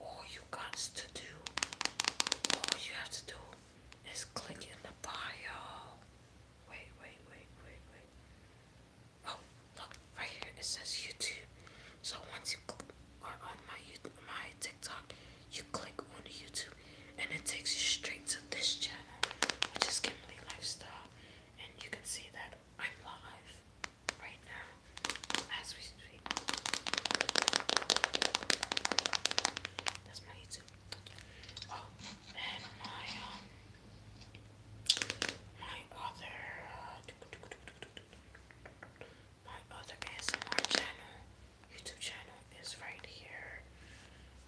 all you got to do, all you have to do is click in the bio. Wait, wait, wait, wait, wait. Oh, look, right here it says YouTube. So once you are on my my TikTok, you click on YouTube and it takes you straight to this channel, which is Kimberly Lifestyle. And you can see that I'm live right now That's my YouTube. Oh, and my um, my other my other ASMR channel, YouTube channel is right here.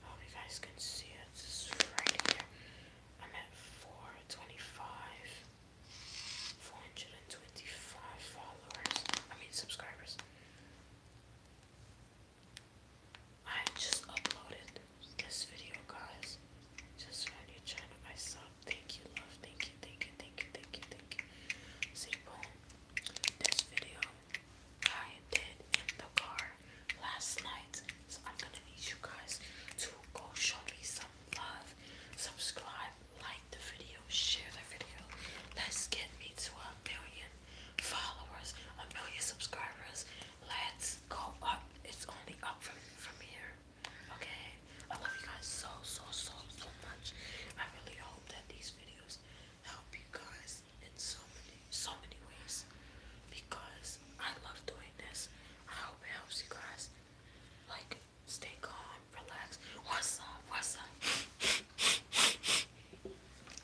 hope um, you guys can see It's right here. I'm at 425. 425 followers. I mean, subscribers. I just uploaded this video, guys. Just found your channel. I Thank you, love. Thank you, thank you, thank you, thank you, thank you. See, This video I did in the car last night. So I'm gonna need you guys to go show me some love, subscribe, like the video, share the video. Let's get me to a million followers, a million subscribers. Let's go up. It's only up from, from here. Okay? I love you guys so, so, so, so much. I really hope that these videos help you guys in so many, so many ways because I love doing this. I hope it helps you guys. Like, stay calm, relax. What's up? What's up?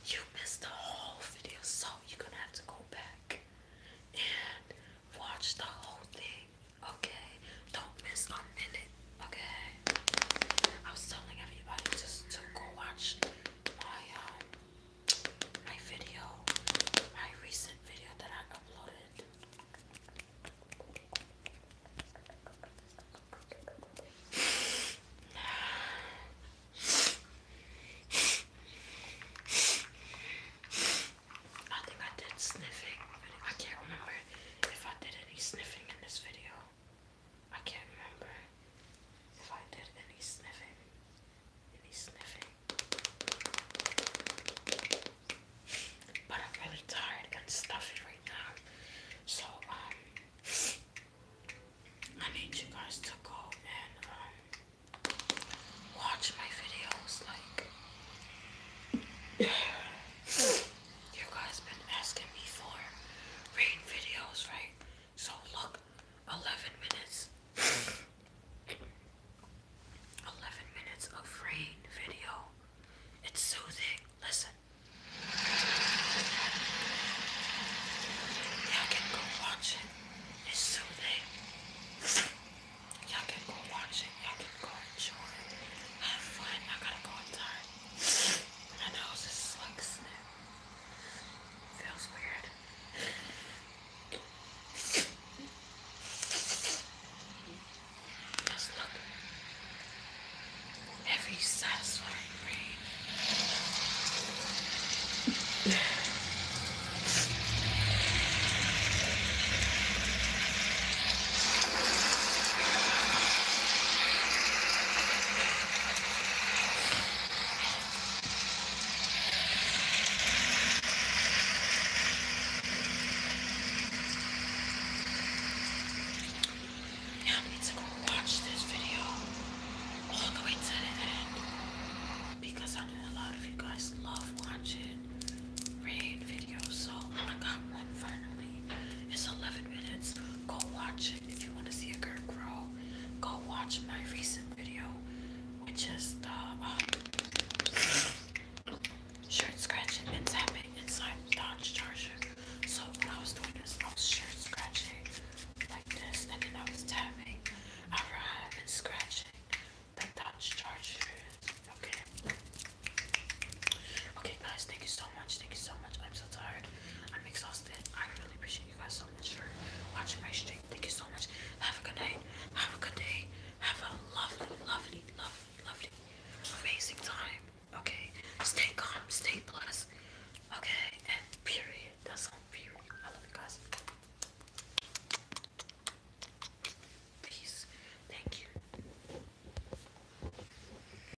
You missed the whole video, so you're gonna have to go back and watch the whole thing. Okay? Don't miss a minute. Okay? I was telling everybody just to go watch my um my video, my recent video that I uploaded. I think I did sniffing. I can't remember if I did any sniffing in this video. I can't remember if I did any sniffing. Any sniffing. But I'm really tired and stuffy right now. So, um, I need you guys to go and, um, watch my videos. Like, you guys been asking me for rain videos, right? So look, 11 minutes. 11 minutes of rain video. It's so soothing. Listen. Y'all can go watch it. It's soothing. Y'all can go watch it. Y'all can go enjoy it. Have fun. I gotta go inside. I know nose is like snap. Feels weird. Just look. Every satisfying rain. Now I need to go watch this video all the to the end because I know a lot of you guys love watching raid videos. So I got one finally. It's 11 minutes. Go watch it. If you want to see a girl grow, go watch my recent video, which is the um, shirt scratching and tapping inside the Dodge Charger. So when I was doing this, I was shirt scratching like this, and then I was tapping around and scratching the Dodge Charger. Okay. Okay, guys, thank you so much. Thank you so much. I'm so tired. I'm exhausted exhausted. I really appreciate you guys so much for watching my stream. Thank you so much. Have a good night. Have a good day. Have a lovely, lovely, lovely, lovely, amazing time. Okay. Stay calm. Stay blessed. Okay. And period. That's all. Period. I love you guys. Peace. Thank you.